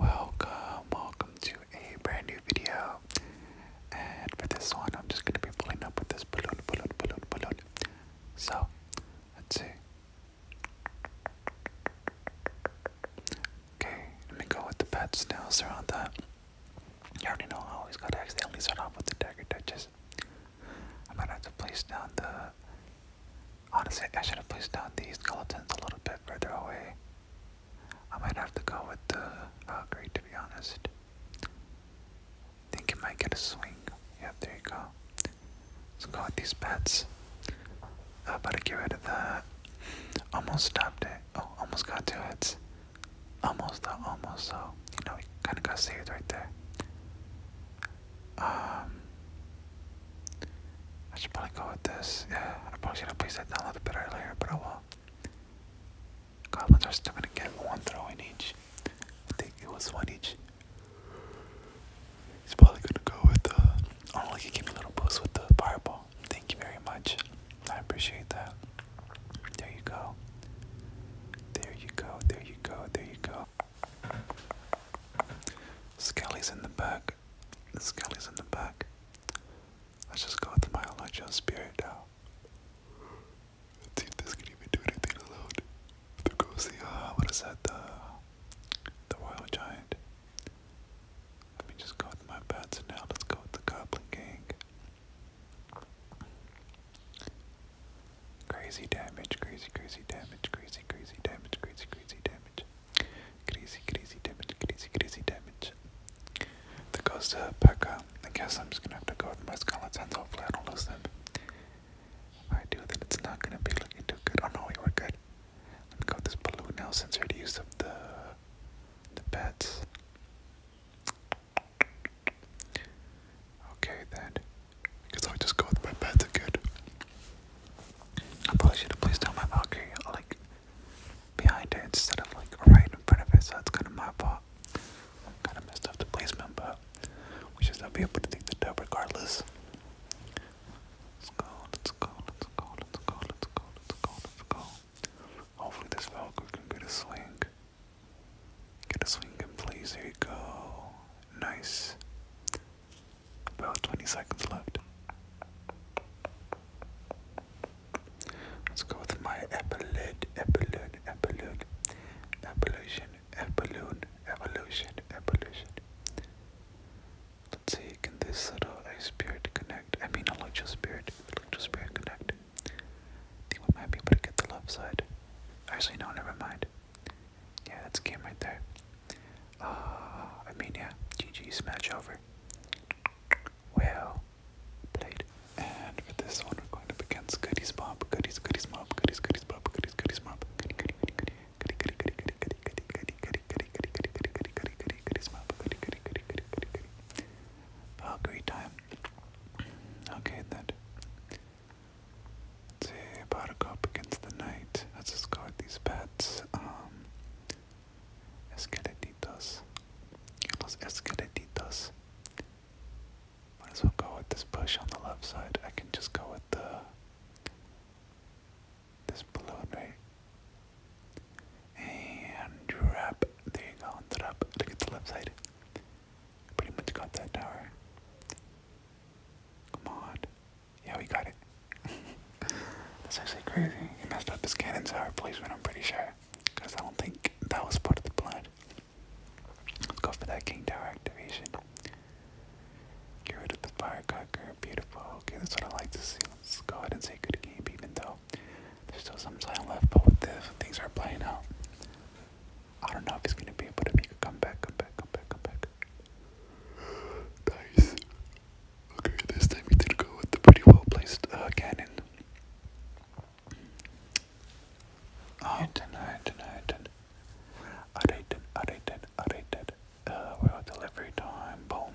Welcome, welcome to a brand new video. And for this one, I'm just gonna be pulling up with this balloon, balloon, balloon, balloon. So, let's see. Okay, let me go with the pet snails around that. You already know I always gotta accidentally start off with the dagger touches. I'm have to place down the Honestly, I should have placed down these skeletons a little bit further away. I might have to go with the Valkyrie uh, to be honest. Think it might get a swing. Yeah, there you go. Let's go with these pets. I better get rid of that. Almost stopped it. Oh, almost got to it. Almost though, almost so. You know, we kinda got saved right there. Um I should probably go with this. Yeah, I am probably should have placed that down a little bit earlier, but I will. Goblins are still gonna get one throw in each. I think it was one each. He's probably gonna go with the. i Oh, like, he gave me a little boost with the fireball. Thank you very much. I appreciate that. There you go. There you go. There you go. There you go. Skelly's in the back. The skull is in the back. Let's just go with my Elijah spirit now. Let's see if this can even do anything alone. The ghost, the, uh, what is that? The, the royal giant. Let me just go with my bats now. Let's go with the goblin gang. Crazy damage, crazy, crazy damage, crazy, crazy damage, crazy, crazy damage. Crazy, crazy damage, crazy, crazy damage. There goes the uh, Pekka. Um, I guess I'm just gonna have to go with my skeletons. Hopefully, I don't lose them. If I do, then it's not gonna be looking too good. Oh no, we were good. Let me go with this balloon now since we already used up the, the bats. Okay, then. I guess I'll just go with my bats again. I probably should have placed down my Valkyrie like behind it instead of like right in front of it, so that's kind of my fault. Kind of messed up the placement, but we should still be able to take the dub regardless. Let's go, let's go, let's go, let's go, let's go, let's go, let's go. Hopefully this Valkyrie can get a swing. Get a swing in please, there you go. Nice. About 20 seconds left. Let's go with my epilogue, epilogue, epilogue, evolution, epilogue, evolution, evolution. Let's see, can this little ice spirit connect? I mean, electro spirit, electro spirit connect. I think we might be able to get the left side. Actually, no, never mind. Yeah, that's a game right there. Uh, I mean, yeah, GG, smash over. Well played. And for this one, we're going to begin Goodies Mob, Goodies, Goodies Mob, Goodies, Goodies Mob, Goodies, Goodies Mob, Goody, Goody, Goody, Goody, Goody, Goody, Goody, Goody, Goody, Goody, Goody, Goody, Goody, Goody, Goody, Goody, Goody, Goodies Mob, Goody, Goody, Goody, Goody, Goody, Goody. Valkyrie time. Okay, then. Let's see, Buttercup against the Knight. Let's discard these pets. Um, Los Esqueletitos. Might as well go with this bush on the left side. I can just go with the this balloon, right? And wrap. There you go. Trap. Look at the left side. Pretty much got that tower. Come on. Yeah, we got it. That's actually crazy. He messed up his cannons cannon tower placement, I'm pretty sure. Because I don't think that was part of the plan. Let's go for that king tower activation. Get rid of the firecracker. Beautiful. Okay, that's what I like to see. Let's go ahead and say good game, even though there's still some time left. But with this, things are playing out. I don't know if he's gonna be able to make a come back, comeback, comeback. Nice. Okay, this time we did go with the pretty well placed uh, cannon. Alright, alright, alright. Alright, alright, alright. Uh, we're on delivery time. Boom.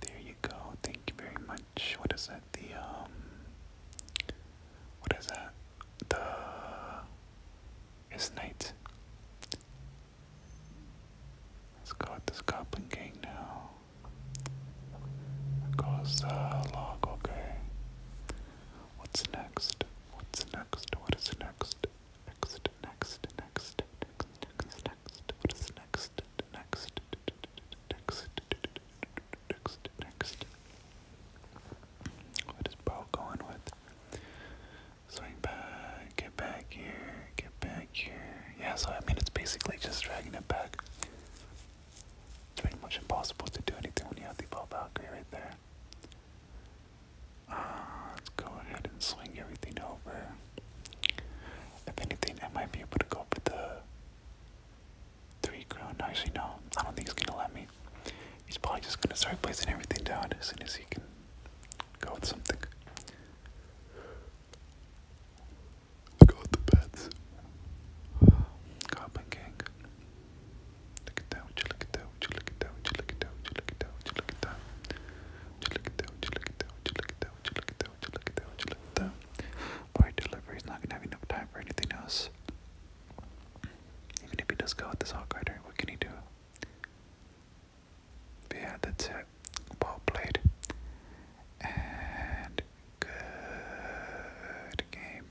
There you go. Thank you very much. What is that? The, um. What is that? the his knight. Let's go with this goblin gang now. goes uh, log, okay. What's next? What's next? What is next? Next, next, next, next, next, next. What is next? Next, next, next, next. What is Bo going with? Swing back, get back here, get back here. Yeah, so I mean, it's basically just dragging it back. It's pretty much impossible to do anything when you have the Valkyrie right there. Uh, let's go ahead and swing everything over. If anything, I might be able to go for the Three crown. actually, no. I don't think he's gonna let me. He's probably just gonna start placing everything down as soon as he can go with something. Go with the bats. Goblin gang. Look at that! look at that! look at that! look at that! look at that! look at that! look at that! look at that! look at that! look at that! look at that! look at that! Would delivery's not gonna have enough time for anything else. Even if he does go with this Hawk Rider, what can he do? But yeah, that's it. ball played. And good game.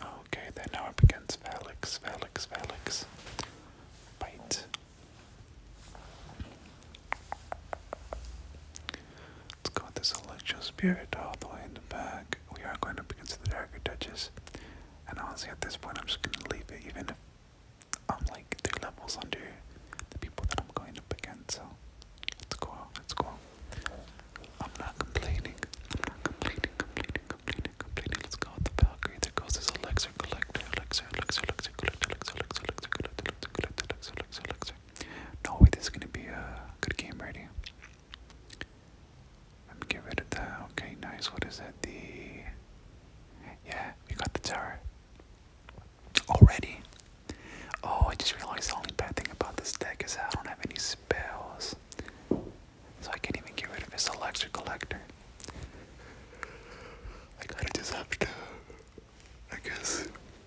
Okay, then now it begins. Felix, Felix, Felix. Bite. Let's go with this electric Spirit all the way in the back. We are going up against the Darker Duchess. And honestly, at this point, I'm just going to leave it, even if I'm like three levels under the people that I'm going up against. So let's go let's go I'm not complaining. I'm not complaining, complaining, complaining, complaining. Let's go with the Valkyrie. There goes this Elixir Collector, Elixir, Elixir, Elixir Collector, Elixir, Elixir, Elixir Collector, Elixir, Collector, Elixir, Elixir, No way, this is going to be a good game, ready? get rid of that. Okay, nice. What is that? The yeah, we got the tower already. Oh, I just realized the only bad thing about this deck is I don't have any spells, so I can't even get rid of this electric collector. I gotta just have to, I guess,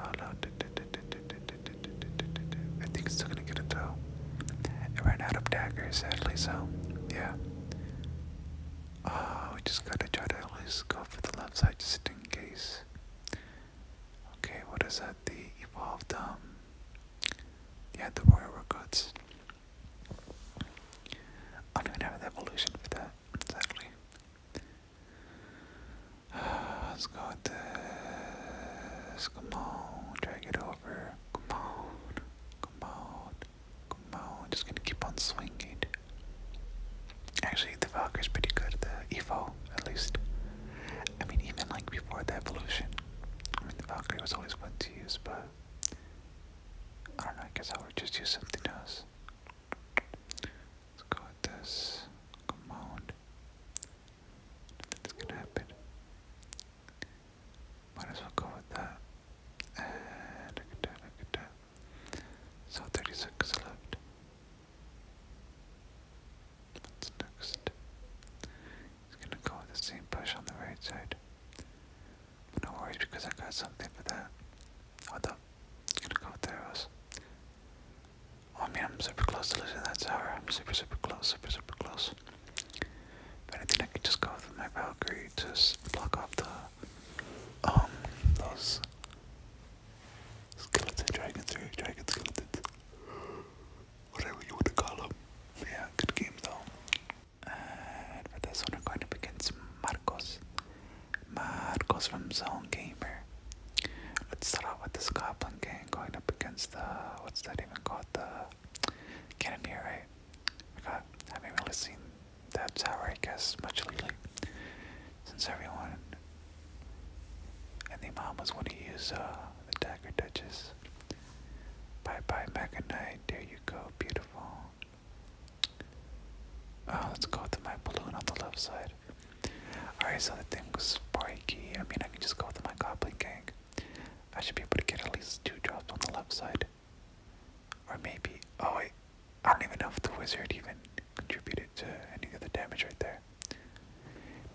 I think it's still gonna get a throw. It ran out of daggers, sadly, so yeah. Oh, we just gotta try to always go for the left side just in case. Okay, what is that? The evolved um, Yeah, the warrior Recruits. I am not even have an evolution for that, exactly. Let's go with this. Come on, drag it over. Come on, come on, come on. Just gonna keep on swinging. Actually, the Valkyrie's pretty good. The Evo, at least. I mean, even like before the evolution, I mean, the Valkyrie was always fun to use, but I don't know. I guess I would just use something else. Let's go with this. Come on. Nothing's gonna happen. Might as well go with that. look at that, look at that. So 36 left. What's next? He's gonna go with the same push on the right side. I'm because I got something for that. What the? gonna go through us. Oh, I mean, I'm super close to losing that tower. I'm super, super close, super, super close. If anything, I could just go with my Valkyrie to block off the, um, those skeleton dragons or dragon skeletons. Whatever you want to call them. Yeah, good game though. And for this one, I'm going up against Marcos goes from Zone Gamer. Let's start out with this Goblin gang going up against the what's that even called? The Cannoneer, right? God, I haven't really seen that tower, I guess, much lately. Since everyone and the mamas want to use uh, the dagger duchess. Bye bye, Mega Knight. There you go, beautiful. Oh, let's go with my balloon on the left side. Alright, so the thing was spiky. I mean, I can just go with my goblin gang. I should be able to get at least two drops on the left side. Or maybe. Oh, wait. I don't even know if the wizard even contributed to any of the damage right there.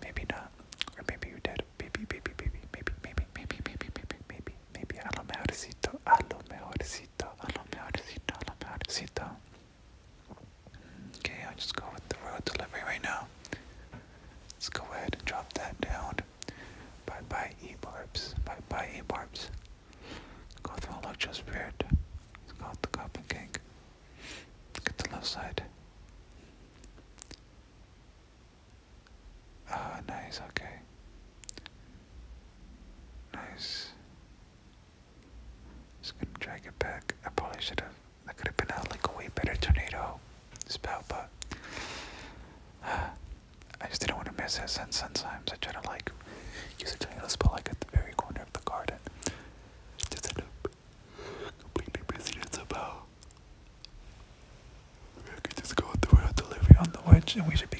Maybe not. Or maybe you did. Maybe, maybe, maybe, maybe, maybe, maybe, maybe, maybe, maybe, maybe. A lo mejorcito. A lo mejorcito. A lo mejorcito. A lo mejorcito. Okay, I'll just go with the road delivery right now. Let's go ahead and drop that down. Bye bye, E barbs. Bye bye, E barbs. Go through Electro Spirit. Let's go with the Goblin King. Get the left side. Ah, nice, okay. Nice. Just gonna drag it back. I probably should have. That could have been a, like a way better tornado spell, but I just didn't want to miss it. Since sometimes I try to like use a tiny little spell like at the very corner of the garden, just end completely missing it We could just go through a delivery on the wedge, and we should be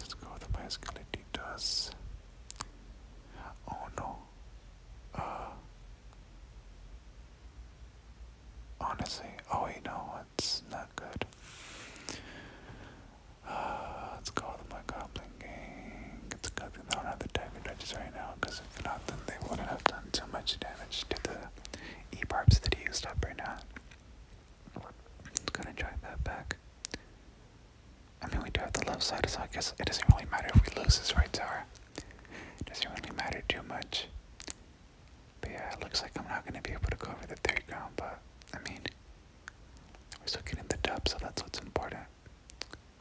Let's go with the Masculinitas. Oh no. Uh, honestly, oh you know it's not good. Uh, let's go with my Goblin Gang. It's good I don't have the type of judges right now not, then they wouldn't have done so much damage to the E-barbs that he used up right now. let gonna drive that back. I mean, we do have the left side, so I guess it doesn't really matter if we lose this right tower. It doesn't really matter too much. But yeah, it looks like I'm not gonna be able to go over the third ground, but I mean, we're still getting the dub, so that's what's important.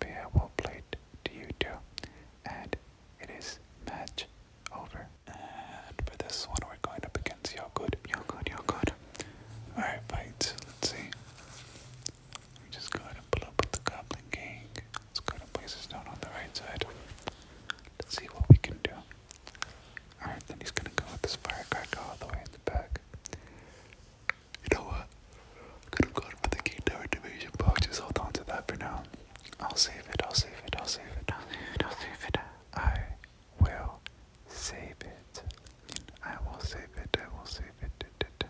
Yeah, we'll play it. to you too, and it is match over. And for this one, we're going up against y'all good, y'all good, y'all good. you good good you Yogurt, good Alright, fights. Let's see. Let me just going to pull up with the Goblin Gang. Let's go to and place this down on the right side. Let's see what we can do. Alright, then he's gonna go with this firecracker all the way in the back. You know what? I'm gonna go for the King Tower Division box. Just hold on to that for now. I'll save it, I'll save it, I'll save it, I'll save it, I'll save it. I will save it. I will save it, I will save it.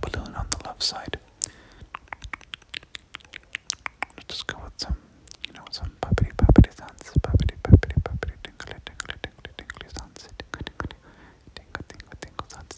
Balloon on the left side. Let's just go with some, you know, some puppety puppety sounds. Puppety puppety puppety tinkly tinkly tinkly tinkly sounds. Tinkle tinkle tinkle sounds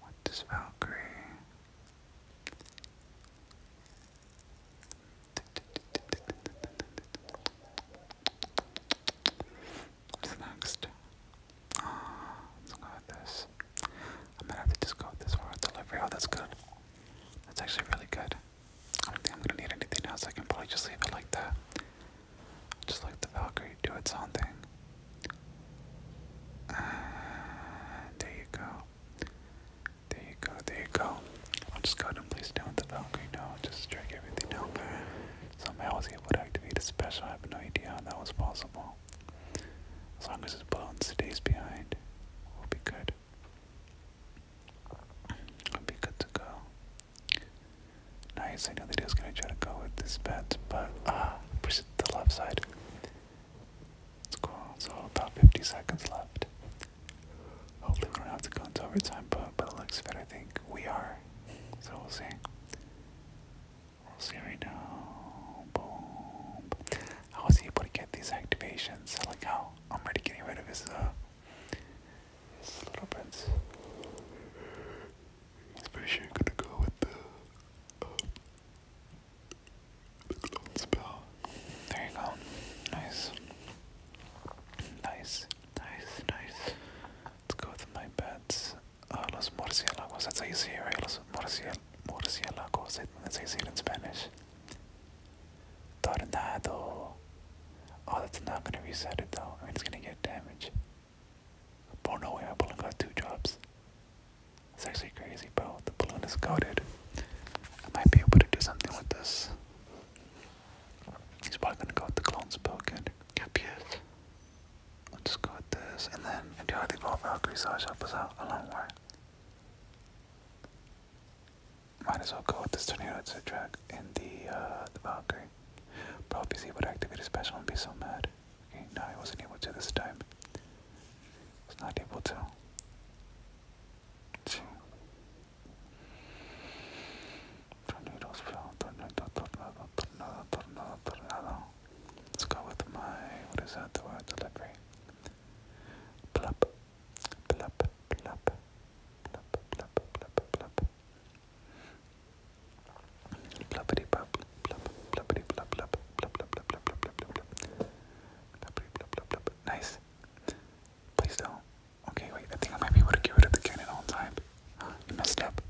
What does Valkyrie? What's next? Oh, let's go with this. I'm gonna have to just go with this for delivery. Oh, that's good. That's actually really good. I don't think I'm gonna need anything else. I can probably just leave it like that. Just let the Valkyrie, do its own thing. there you go. There you go, there you go. I'll just go ahead and place down the Valkyrie now, just drag everything down there. Somehow I was able to activate a special, I have no idea how that was possible. As long as his balloon stays behind, we'll be good. we be good to go. Nice, I know that he was going to try to go with this bet, but uh, push it to the left side. It's cool, It's all about 50 seconds left. Hopefully we don't have to go into overtime, but by looks of I think we are. So we'll see. We'll see right now. Boom. I was able to get these activations. I like I'm already getting rid of his, uh, his little bits. Especially I'm gonna go with the, uh, the clone spell. There you go. Nice. Nice, nice, nice. Let's go with my bats. Uh, los murciélagos, that's how you say it, right? Los murciel murciélagos, that's how you say it in Spanish. Tornado. Oh, that's not gonna reset it though. I mean, it's gonna get damage. Oh no way, my balloon got two jobs. It's actually crazy, bro. The balloon is coated. I might be able to do something with this. He's probably gonna go with the clone spoke and Yep, yes. I'll just go with this, and then I do how they go Valkyrie, so I'll help us out Might as well go with this tornado to drag in the, uh, the Valkyrie. Probably Prophecy would activate a special and be so mad. Okay, no, I wasn't able to this time. I was not able to. Let's go with my. What is that? The word delivery. Plop. Plop. Plop. Plop. Plop. Plop. Plop. Plop. Blubbity blub, blub, blubbity blub, blub, blub, blub, blub, blub, blub, blub, blub, Nice. Please do Okay, wait. I think I might be able to get rid of the cannon on time. You messed up.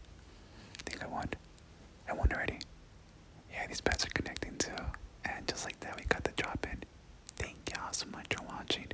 I think I won. I won already. Yeah, these bats are connecting too. And just like that, we got the drop in. Thank y'all so much for watching.